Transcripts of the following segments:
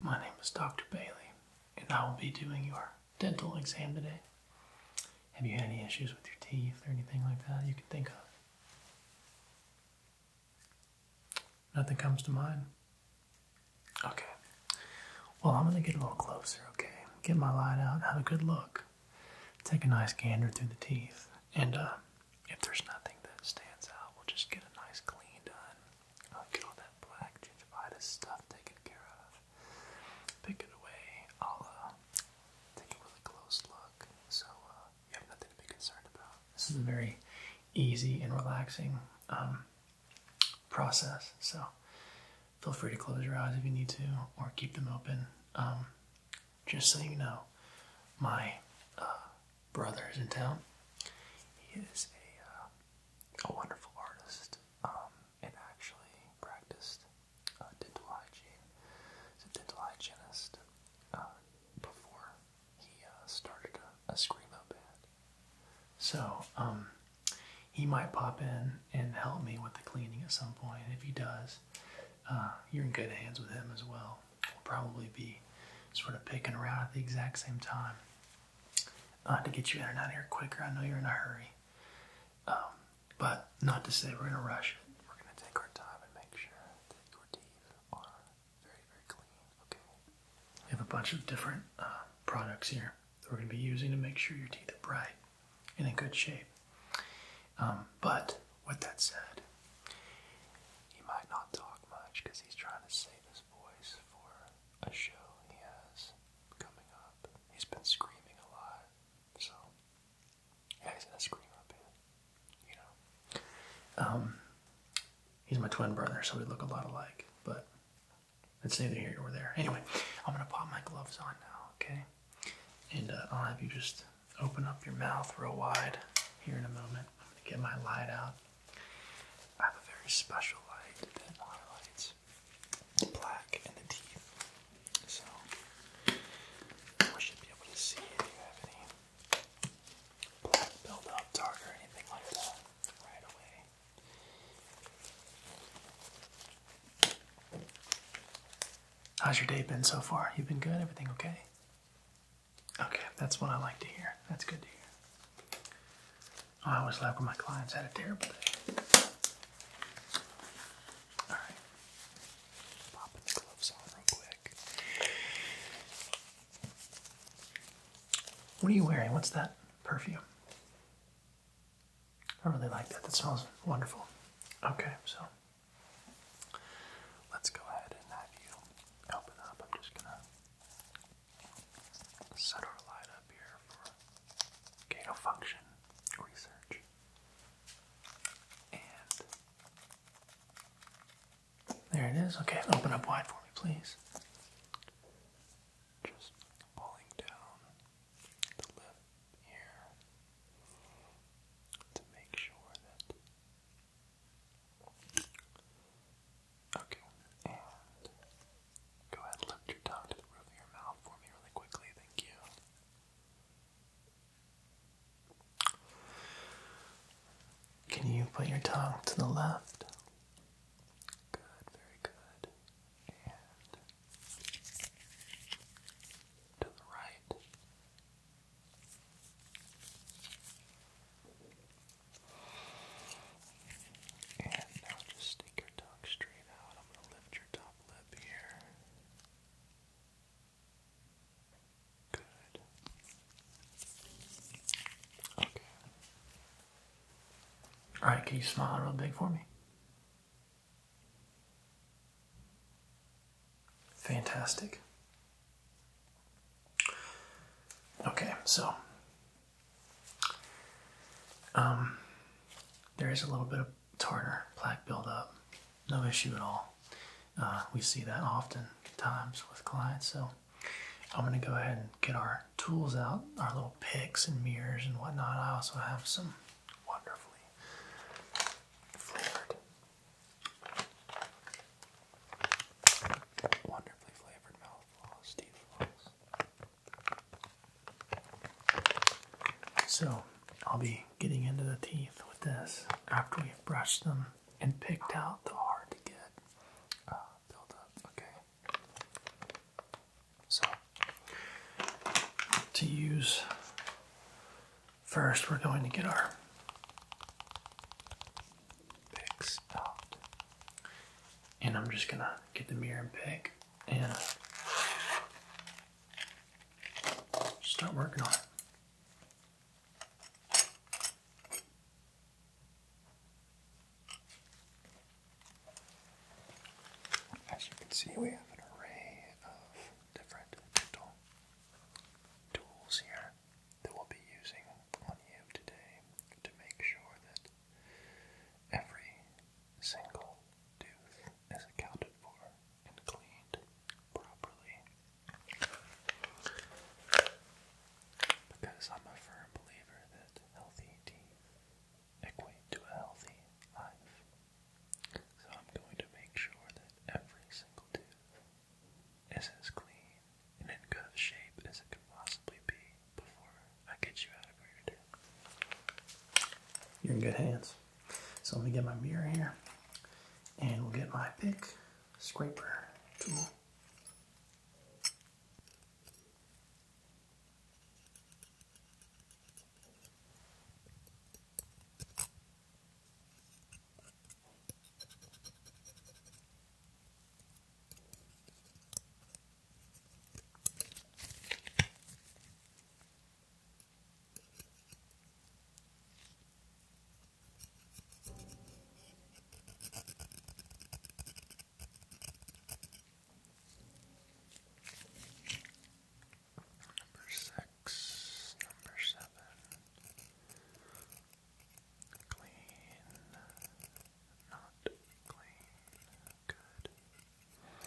My name is Dr. Bailey, and I will be doing your dental exam today. Have you had any issues with your teeth or anything like that you can think of? Nothing comes to mind? Okay. Well, I'm going to get a little closer, okay? Get my light out, have a good look. Take a nice gander through the teeth, and uh, if there's nothing that stands out, we'll just get a nice clean done. I'll get all that black gingivitis stuff taken care of. Pick it away. I'll uh, take a close look. So uh, you have nothing to be concerned about. This is a very easy and relaxing um, process. So feel free to close your eyes if you need to, or keep them open. Um, just so you know, my uh, brother is in town. He is a uh, a wonderful artist um, and actually practiced dental hygiene. He's a dental hygienist uh, before he uh, started a, a screamo band. So um, he might pop in and help me with the cleaning at some point. And if he does, uh, you're in good hands with him as well. We'll probably be sort of picking around at the exact same time uh, to get you in and out here quicker. I know you're in a hurry, um, but not to say we're going to rush it. We're going to take our time and make sure that your teeth are very, very clean. Okay. We have a bunch of different uh, products here that we're going to be using to make sure your teeth are bright and in good shape. Um, but with that said, he might not talk much because he's trying to save his voice for a show he has coming up. He's been screaming a lot, so yeah, he's gonna scream up here, you know. Um, he's my twin brother, so we look a lot alike, but it's neither here nor there. Anyway, I'm gonna pop my gloves on now, okay? And uh, I'll have you just open up your mouth real wide here in a moment. I'm gonna get my light out. I have a very special light that highlights the black and the teeth. So I should be able to see if you have any black buildup, dark, or anything like that right away. How's your day been so far? You've been good? Everything okay? Okay, that's what I like to hear. That's good to hear. Oh, I always laugh when my clients had a terrible day. All right. Popping the gloves on real quick. What are you wearing? What's that perfume? I really like that. That smells wonderful. Okay, so let's go ahead and have you open up. I'm just gonna set our light up here for gain function research. And there it is. Okay, open up wide for me, please. Just pulling down the lip here to make sure that Okay, and go ahead lift your tongue to the roof of your mouth for me really quickly. Thank you. Can you put your tongue to the left? Good, very good. And to the right. And now just stick your tongue straight out. I'm going to lift your top lip here. Good. Okay. Alright, can you smile real big for me? Fantastic. Okay, so um, there is a little bit of tartar plaque buildup, no issue at all. Uh, we see that often times with clients, so I'm going to go ahead and get our tools out, our little picks and mirrors and whatnot. I also have some wonderfully flavored, wonderfully flavored mouth so I'll be getting into the teeth with this after we've brushed them and picked out the hard to get uh, buildup. Okay. So to use first, we're going to get our picks And I'm just gonna get the mirror and pick and start working on it. As you can see, we have an array of different dental tools here that we'll be using on you today to make sure that Every single tooth is accounted for and cleaned properly. Because I'm a firm believer that healthy teeth equate to a healthy life. So I'm going to make sure that every single tooth is as clean in good shape as it can possibly be before I get you out of where You're in good hands. So let me get my mirror here and we'll get my pick scraper tool. Number six, number seven, clean, not clean. Good. Oh,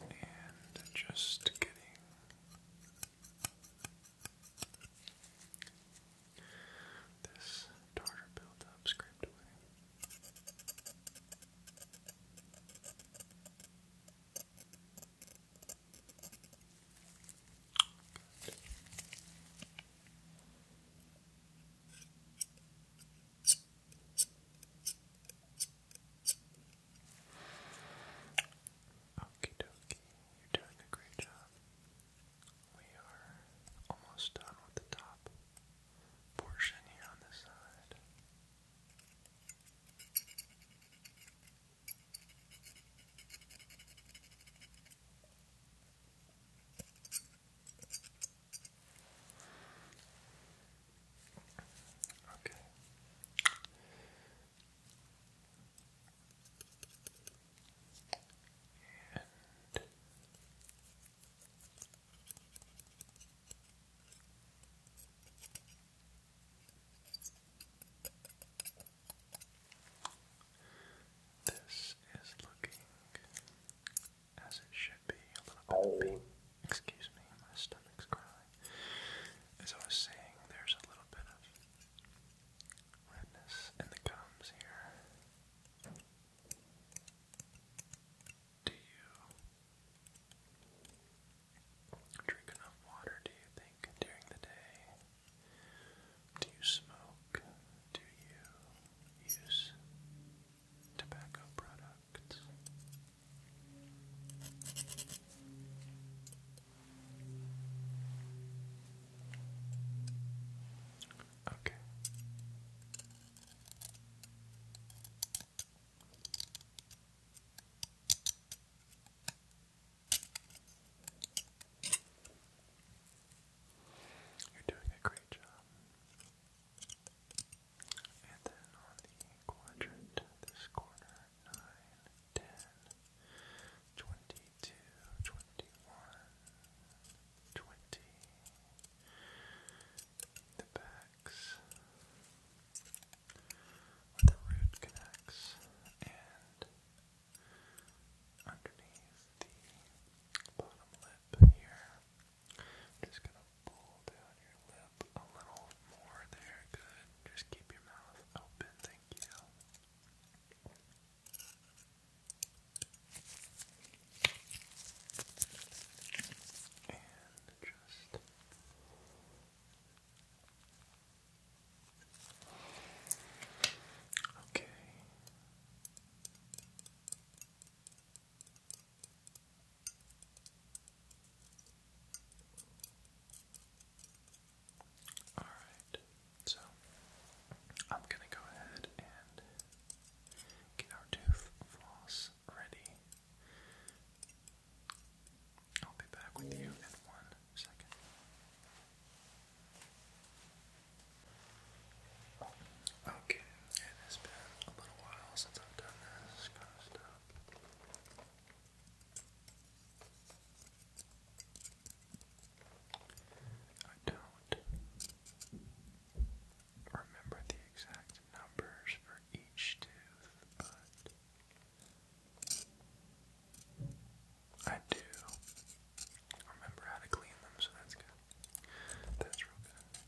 and just getting this tartar buildup scraped away. Okie dokie, you're doing a great job. We are almost done with the top portion here on this side. Okay. And this is looking as it should be, a little bit oh. Excuse me, my stomach's crying. As I was saying, there's a little bit of redness in the gums here. Do you drink enough water, do you think, during the day? Do you smoke? Do you use tobacco products. Okay. You're doing a great job. And then on the quadrant, this corner, 9, The backs where the root connects and underneath the bottom lip here just gonna pull down your lip a little more there. Good. Just keep your mouth open. Thank you. And just. Okay. All right, so I'm gonna go ahead and get our tooth floss ready. I'll be back with you in one second. Okay, it has been a little while since I've done this kind of stuff. I don't remember the exact numbers for each tooth, but I do remember how to clean them, so that's good. That's real good.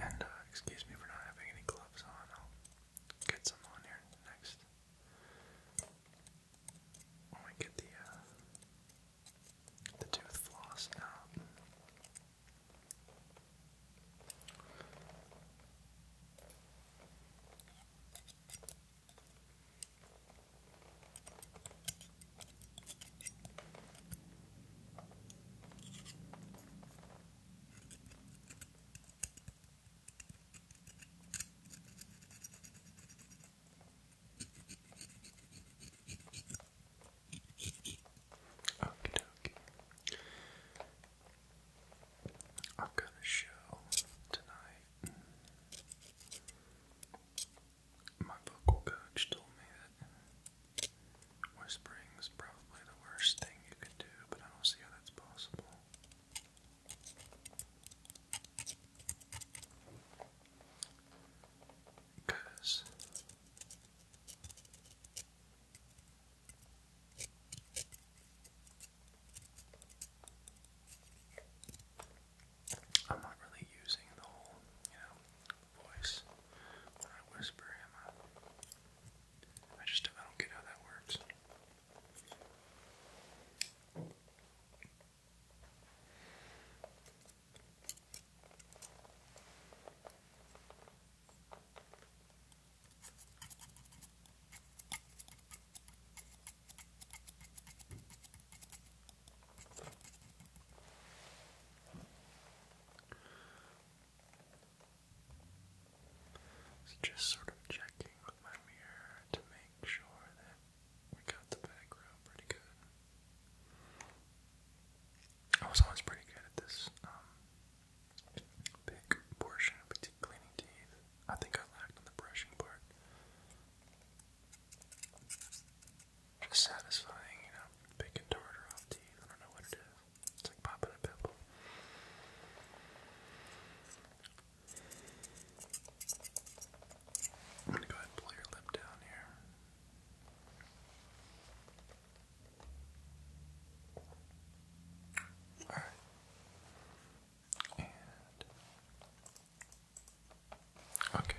And uh, excuse me for not having any gloves on. I'll get some on here next. When we get the uh, the tooth floss now. Okay, okay. I've got a show tonight my vocal coach told me that whispering is probably the worst thing you could do, but I don't see how that's possible. Because I'm not really using the whole, you know, voice I whisper I just I don't get how that works just sort of checking with my mirror to make sure that we got the background pretty good. I was always pretty good at this big um, portion of cleaning teeth. I think I lacked on the brushing part. Just satisfying, you know, bacon tartar off teeth. I don't know what it is. It's like popping a pimple. I'm gonna go ahead and pull your lip down here. Alright. okay.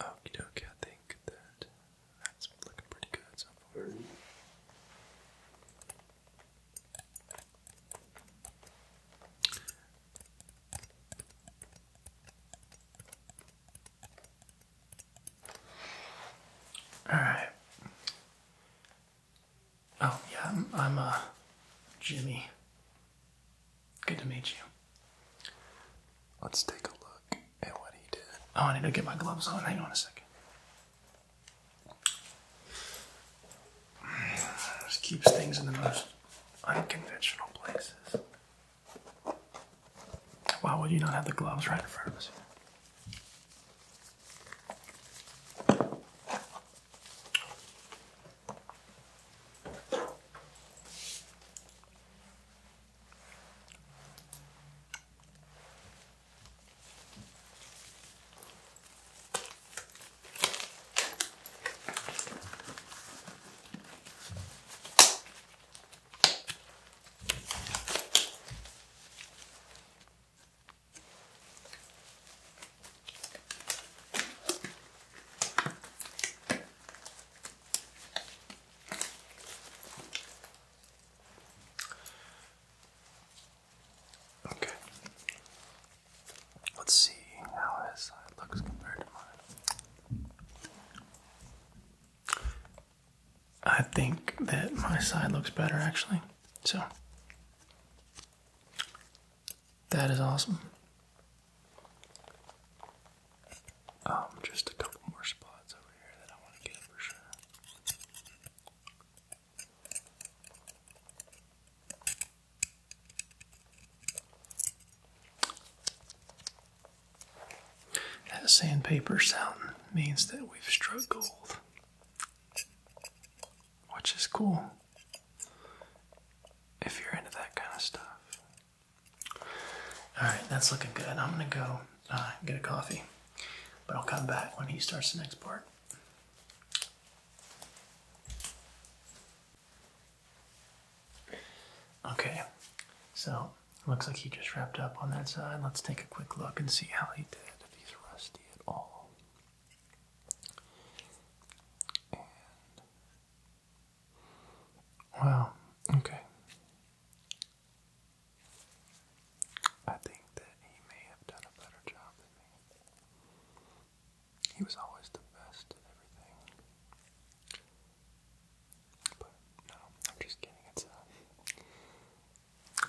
Oh, okay, I think that that's looking pretty good so far. All right. Oh yeah, I'm, i uh, Jimmy. Good to meet you. Let's take a look at what he did. Oh, I need to get my gloves on. Hang on a second. Just keeps things in the most unconventional places. Why would you not have the gloves right in front of us? Okay. Let's see how his side looks compared to mine. I think that my side looks better actually. So that is awesome. Um, just a couple more spots over here that I want to get for sure. That sandpaper sound means that we've struck gold, which is cool if you're into that kind of stuff. Alright, that's looking good. I'm gonna go uh, get a coffee, but I'll come back when he starts the next part. Okay, so Looks like he just wrapped up on that side. Let's take a quick look and see how he did, if he's rusty at all. Wow, okay. I think that he may have done a better job than me. He was always the best at everything.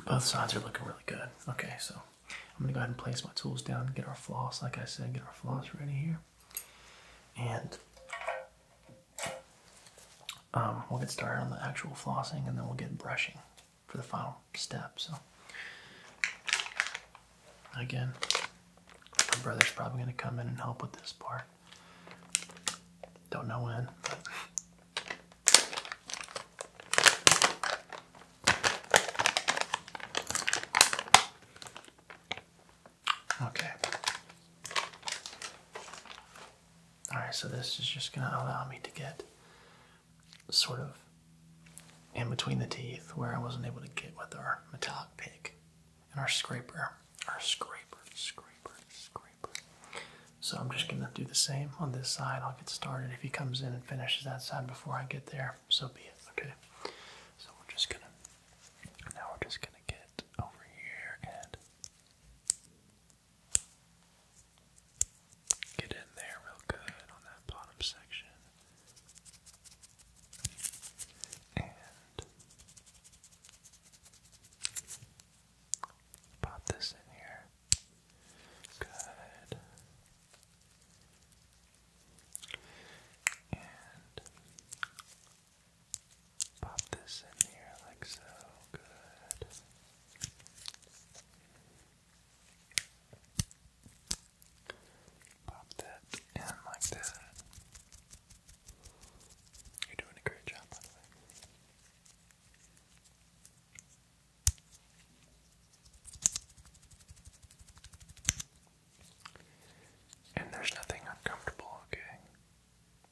Uh, both sides are looking really good. Okay, so I'm gonna go ahead and place my tools down, get our floss, like I said, get our floss ready here, and um, we'll get started on the actual flossing, and then we'll get brushing for the final step. So again, my brother's probably gonna come in and help with this part. Don't know when. Okay. Alright, so this is just going to allow me to get sort of in between the teeth where I wasn't able to get with our metallic pick and our scraper, our scraper, scraper, scraper. So I'm just gonna do the same on this side. I'll get started if he comes in and finishes that side before I get there. So be it. Okay. So we're just gonna now we're just gonna get over here and get in there real good on that bottom section. And Pop this in here. Good. And pop this in here like so. Good. Pop that in like that. You're doing a great job, by the way. And there's nothing uncomfortable, okay?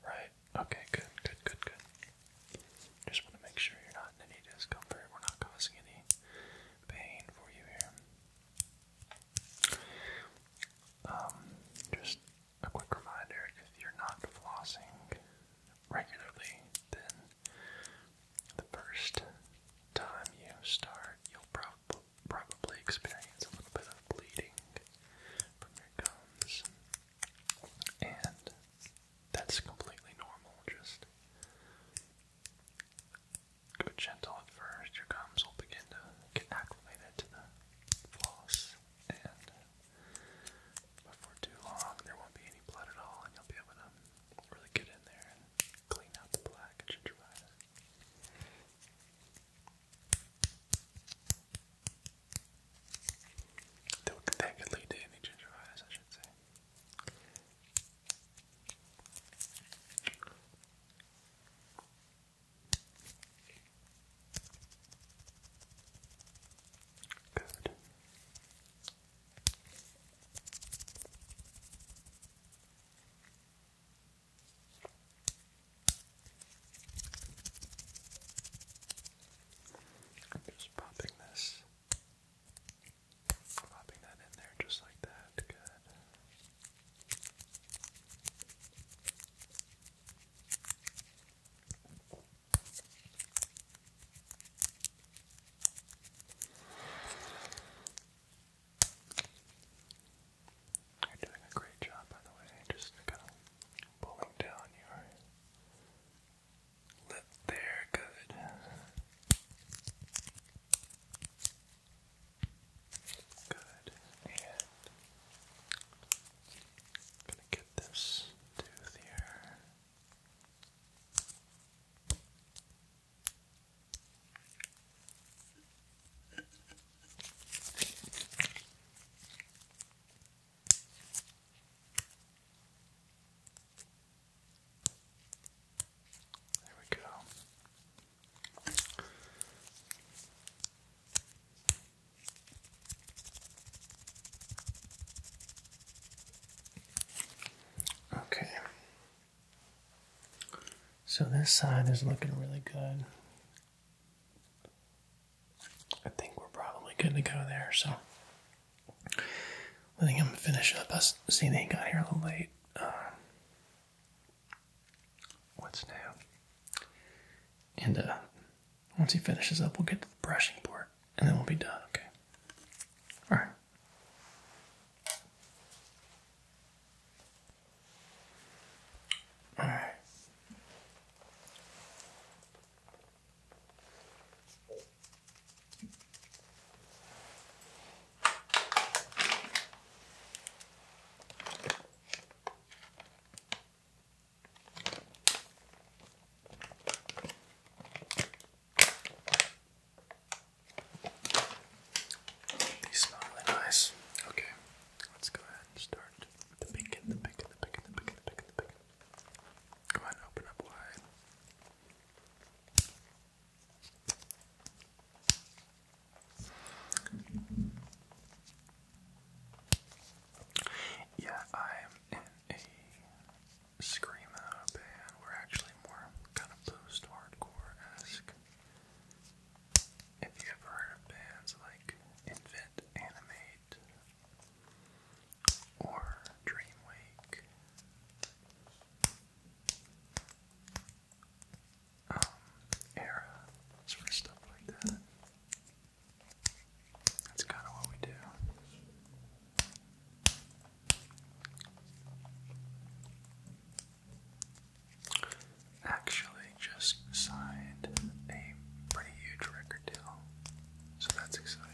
Right? Okay, good, good, good, good. Just want to make sure you're not in any discomfort. We're not causing any pain for you here. Um, just a quick reminder if you're not flossing regularly, then the first time you start, you'll prob probably experience a little bit of bleeding from your gums. And that's completely normal. Just go gentle at first. Your gums will begin to get acclimated to the floss, and before too long, there won't be any blood at all, and you'll be able to really get in there and clean out the plaque and gingivitis. That could lead to any gingivitis, I should say. Good. I'm just popping this, popping that in there just like that. Good. You're doing a great job, by the way, just kind of pulling down your lip there. Good. Good. And I'm gonna get this tooth here. There we go. Okay. So this side is looking really good. I think we're probably good to go there, so I think am gonna finish up. I see he got here a little late. Uh, what's new? And uh once he finishes up, we'll get to the brushing part and then we'll be done, okay? Alright. Alright. These smell really nice. Okay, let's go ahead and start the bacon, the bacon, the bacon, the bacon, the bacon, the bacon. Go ahead open up wide. Yeah, I'm in a screamo band. We're actually more kind of post-hardcore esque. If you ever heard of bands like Invent Animate or Dreamwake. Um, era, sort of stuff like that. That's kind of what we do. Actually, just signed a pretty huge record deal, so that's exciting.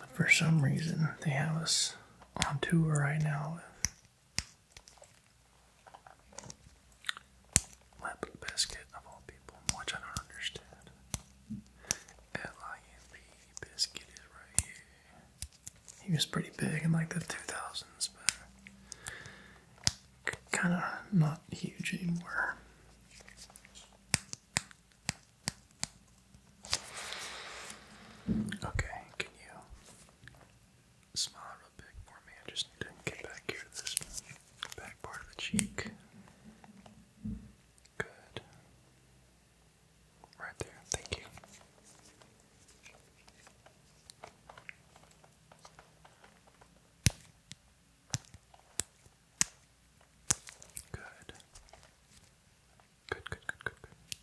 But for some reason, they have us on tour right now Lemon biscuit of all people, which I don't understand. L-I-M-B biscuit is right here. He was pretty big in like the 2000s, but kind of not huge anymore. Okay, can you Smile real big for me. I just need to get back here this back part of the cheek. Good. Right there. Thank you. Good, good, good, good, good.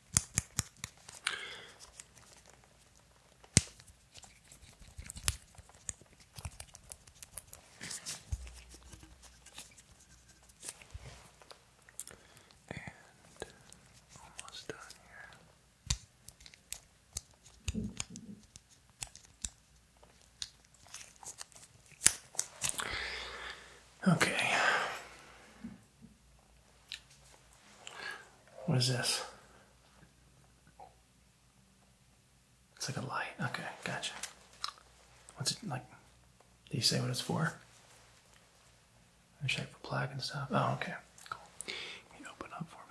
And almost done here. Okay. What is this? It's like a light. Okay, gotcha. What's it like? Do you say what it's for? I am check for plaque and stuff. Oh, okay, cool. you open up for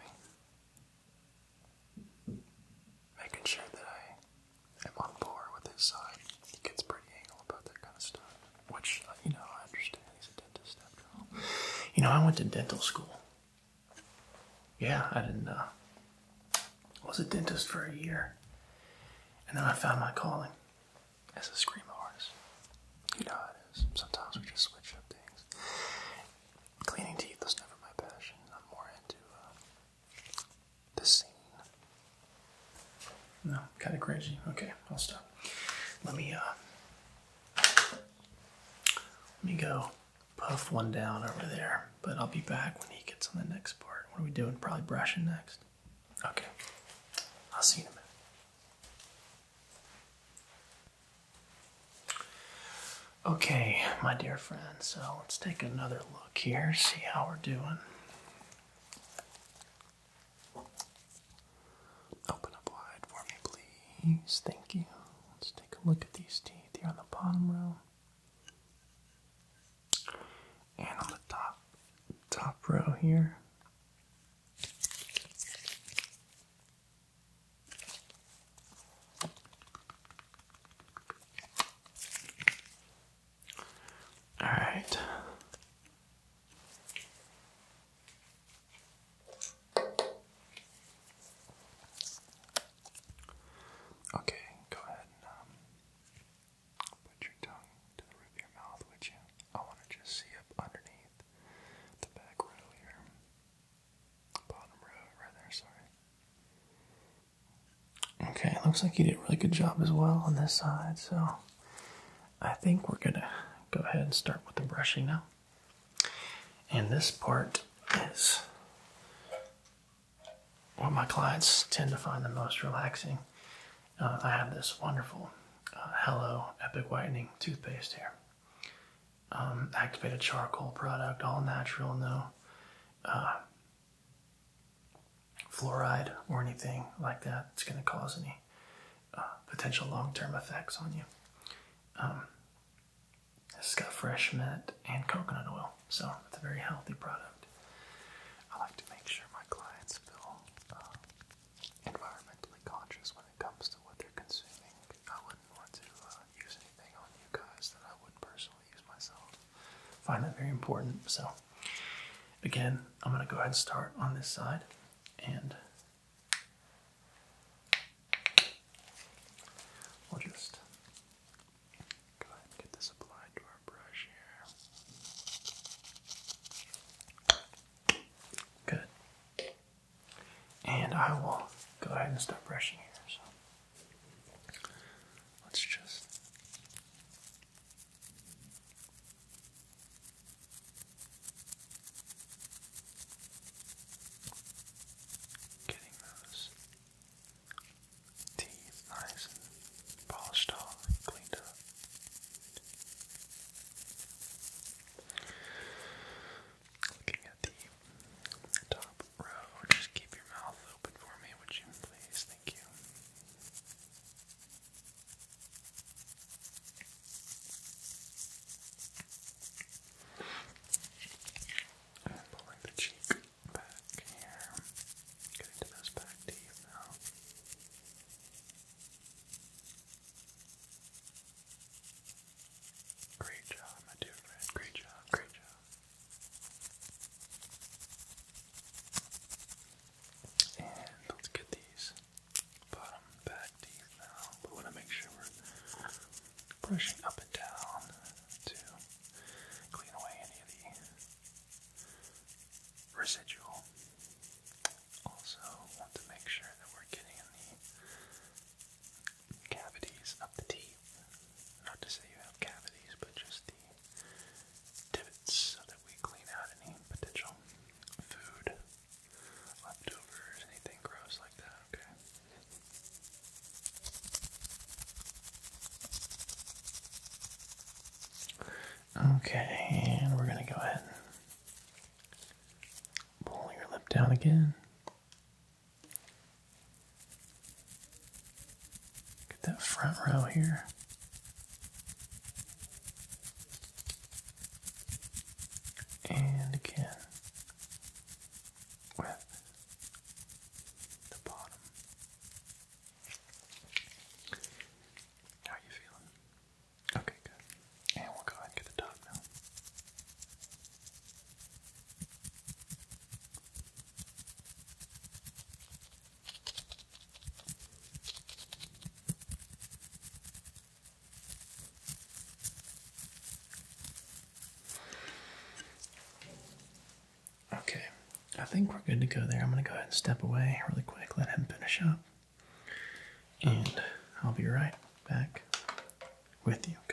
me? Making sure that I am on board with his side. He gets pretty anal about that kind of stuff. Which, you know, I understand. He's a dentist after all. You know, I went to dental school. Yeah, I didn't, uh, I was a dentist for a year. And then I found my calling as a scream artist. You know it is. Sometimes we just switch up things. Cleaning teeth was never my passion. I'm more into uh, the scene. No, kind of crazy. Okay, I'll stop. Let me uh, let me go puff one down over there, but I'll be back when he gets on the next part. What are we doing? Probably brushing next. Okay. I'll see you in a minute. Okay, my dear friend, so let's take another look here, see how we're doing. Open up wide for me, please. Thank you. Let's take a look at these teeth here on the bottom row. And on the top top row here. All right. Okay, go ahead and um, put your tongue to the roof of your mouth, would you? I want to just see up underneath the back row here. Bottom row, right there, sorry. Okay, looks like you did a really good job as well on this side, so I think we're gonna go ahead and start with the brushing now. And this part is what my clients tend to find the most relaxing. Uh, I have this wonderful uh, Hello Epic Whitening toothpaste here. Um, activated charcoal product, all natural, no uh, fluoride or anything like that. It's going to cause any uh, potential long-term effects on you. Um, it's got fresh mint and coconut oil, so it's a very healthy product. I like to make sure my clients feel uh, environmentally conscious when it comes to what they're consuming. I wouldn't want to uh, use anything on you guys that I wouldn't personally use myself. Find that very important. So, again, I'm going to go ahead and start on this side and We'll just go ahead and get this applied to our brush here. Good. And I will go ahead and start brushing here. So let's just Getting those teeth nice and polished off cleaned up. Looking at the top row, just keep your mouth open for me, would you please? Thank you. I'm pulling the cheek back here. Getting to those back teeth now. Great job, my dear friend. Great job, great job. And let's get these bottom back teeth now. We want to make sure we're brushing up and down to clean away any of the residual. Also, want to make sure that we're getting in the cavities of the teeth. Not to say you have cavities, but just the divots so that we clean out any potential food leftovers, anything gross like that, okay? Okay, and we're gonna go ahead and pull your lip down again. Get that front row here and again with the bottom. How you feeling? Okay, good. And we'll go ahead and get the top now. Okay, I think we're good to go there. I'm going to go ahead and step away really quick, let him finish up, and I'll be right back with you. Okay.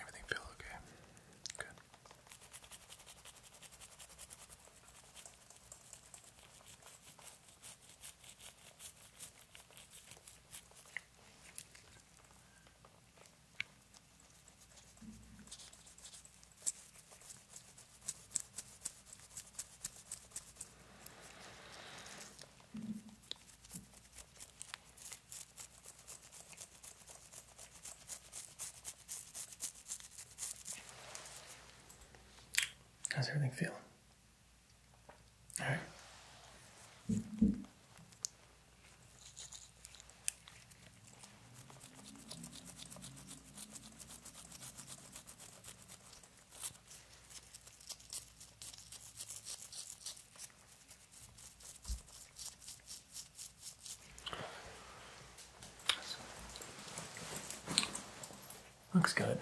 Everything feel okay? Good. How's everything feeling? All right. Looks good.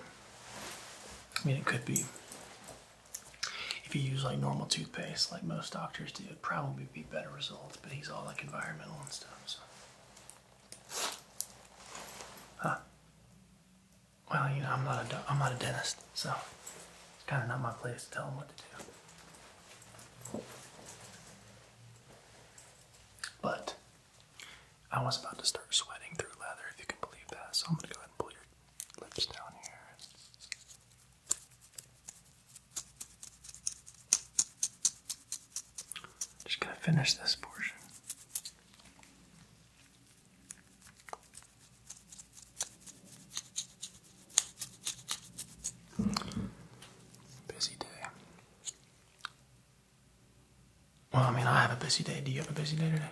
I mean, it could be if you use like normal toothpaste, like most doctors do, it'd probably be better results, but he's all like environmental and stuff, so. Huh. Well, you know, I'm not a, I'm not a dentist, so it's kind of not my place to tell him what to do. But I was about to start sweating through leather, if you can believe that, so I'm gonna go ahead and pull your lips down here. Just going to finish this portion. Busy day. Well, I mean, I have a busy day. Do you have a busy day today?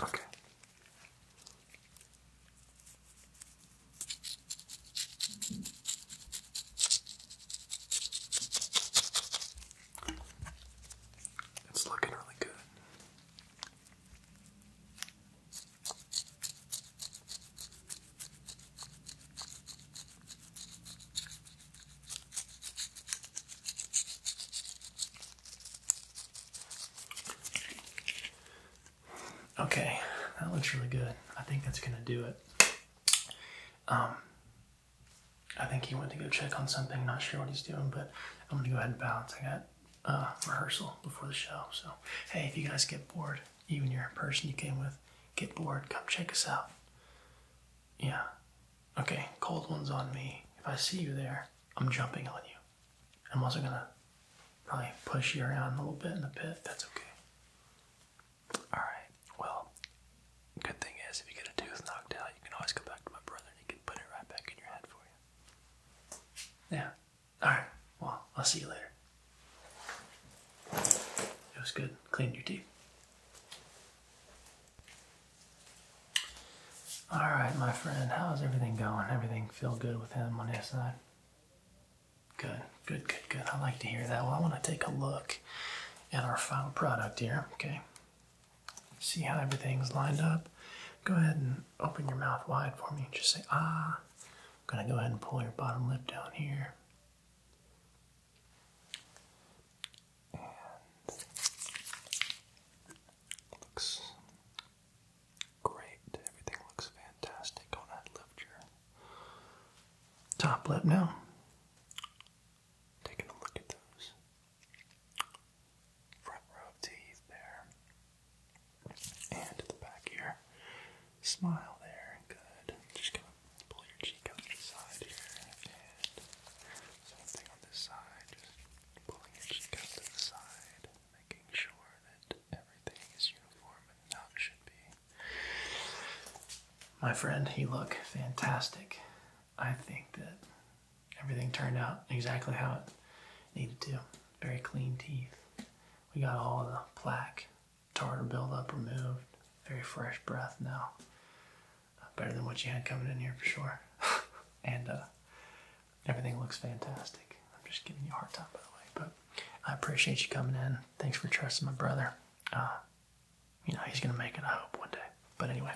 Okay. It's looking really good. Okay, that looks really good. I think that's gonna do it. Um, I think he went to go check on something. Not sure what he's doing, but I'm gonna go ahead and balance. I got uh, rehearsal before the show. So, hey, if you guys get bored, even your person you came with, get bored, come check us out. Yeah. Okay, cold one's on me. If I see you there, I'm jumping on you. I'm also gonna probably push you around a little bit in the pit. That's okay. Alright, well, good thing is if you get a tooth knocked out, you can always go back to my brother and he can put it right back in your head for you. Yeah. Alright, well, I'll see you later. It was good. Clean your teeth. All right, my friend, how's everything going? Everything feel good with him on his side? Good, good, good, good. I like to hear that. Well, I want to take a look at our final product here, okay? See how everything's lined up? Go ahead and open your mouth wide for me and just say, ah. I'm going to go ahead and pull your bottom lip down here and looks great. Everything looks fantastic on that left Top lip now. Taking a look at those front row teeth there. And the back here. Smile there. Good. Just gonna pull your cheek out to the side here same on this side, just pulling it just to the side, making sure that everything is uniform and how it should be. My friend, he look fantastic. I think that everything turned out exactly how it needed to. Very clean teeth. We got all the plaque, tartar buildup removed. Very fresh breath now. Uh, better than what you had coming in here for sure. and uh, everything looks fantastic. I'm just giving you a hard time, by the way. But I appreciate you coming in. Thanks for trusting my brother. Uh, you know, he's going to make it, I hope, one day. But anyway,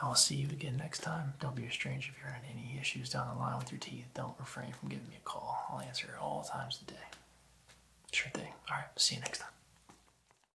I'll see you again next time. Don't be a stranger if you're having any issues down the line with your teeth. Don't refrain from giving me a call. I'll answer all times of the day. Sure thing. All right, see you next time.